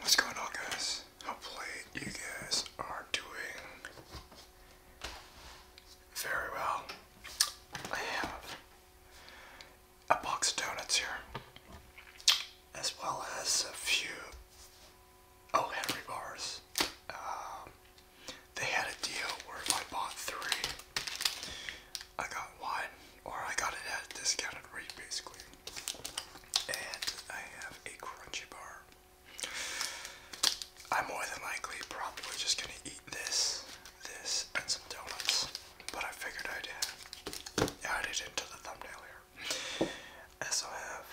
What's going on guys? Hopefully you guys are doing very well. I have a box of donuts here as well as a few Oh Henry bars. Um, they had a deal where if I bought three, I got one, or I got it at a discounted rate basically. And I have a crunchy bar. I'm more than likely probably just gonna eat this, this, and some donuts. But I figured I'd add it into the thumbnail here. I also have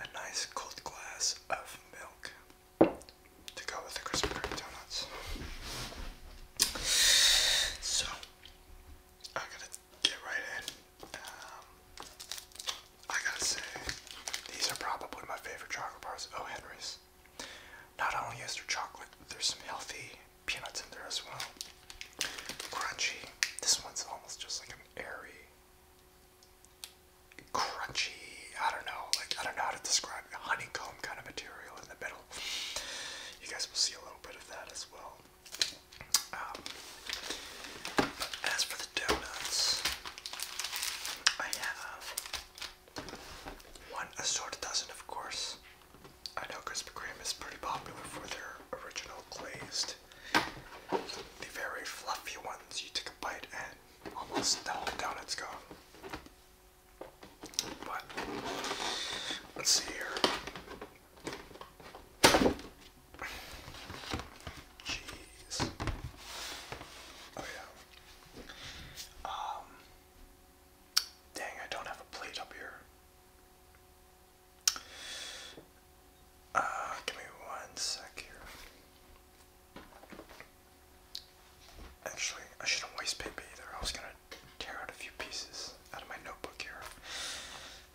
a nice cold glass of milk to go with the crispy Kreme donuts. So I'm gonna get right in. Um, I gotta say, these are probably my favorite chocolate bars. Oh, Henry's. Not only is there chocolate, there's some healthy peanuts in there as well. Crunchy. This one's almost just like an airy, crunchy. I don't know. Like I don't know how to describe it. honeycomb kind of material in the middle you guys will see a little bit of that as well. Um, as for the donuts, I have one assorted dozen, of course. I know Krispy Kreme is pretty popular for their original glazed, the very fluffy ones. You take a bite and almost the donut's gone. But let's see here. Jeez. Oh yeah. Um. Dang, I don't have a plate up here. Uh, give me one sec here. Actually, I shouldn't waste paper either. I was gonna tear out a few pieces out of my notebook here.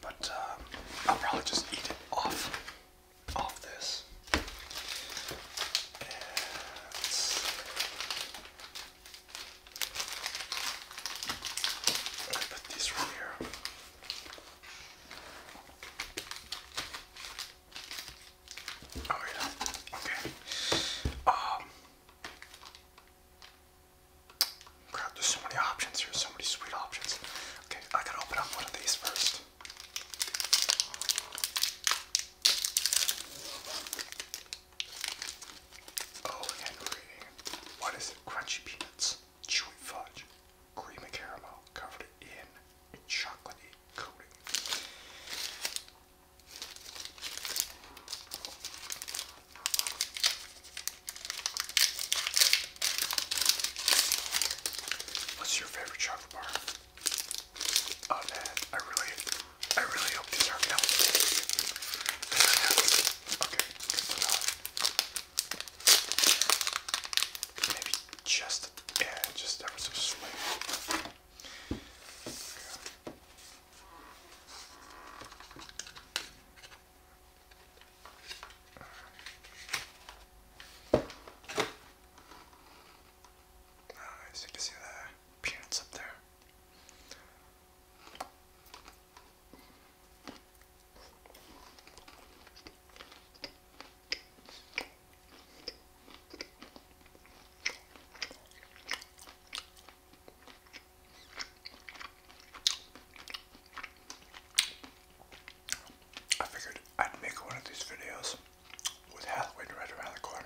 But um, I'll probably just eat it off, off this. I put these right here. Oh yeah. Okay. Um, Crap, there's so many options here, so many sweet options. Okay, I gotta open up one of these first. Oh, Henry. What is it? Crunchy peanuts, chewy fudge, cream caramel covered in a chocolatey coating. What's your favorite chocolate bar? Oh man, I really, I really hope these are milk. Okay, Maybe just, yeah, just ever so slightly. Nice, ah, you can see the peanuts up there. I figured I'd make one of these videos with Halloween right around the corner.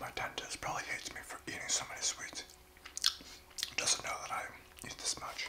My dentist probably hates me for eating so many sweets. Doesn't know that I eat this much.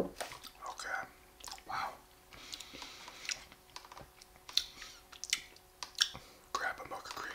Okay. Wow. Grab a mocha cream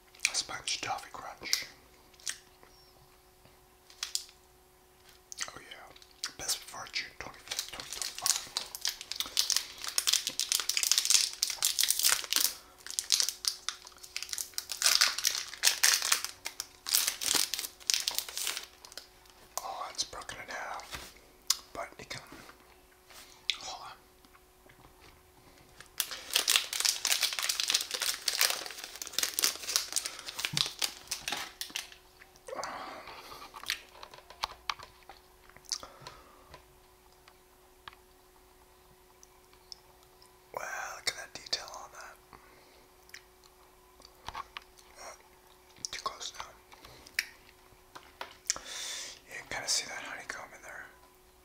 Sponge Toffee Crunch. Oh yeah, best before June Oh, it's broken in half, but it can, hold on. Wow, look at that detail on that. too close now. You can kind of see that honeycomb in there.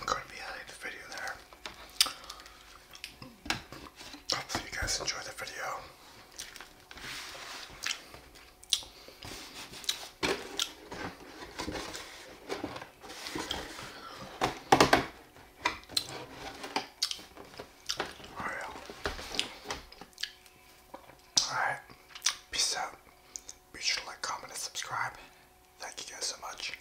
I'm going to be ending the video there. Hopefully you guys enjoy the video. All right. Peace out. Be sure to like, comment, and subscribe. Thank you guys so much.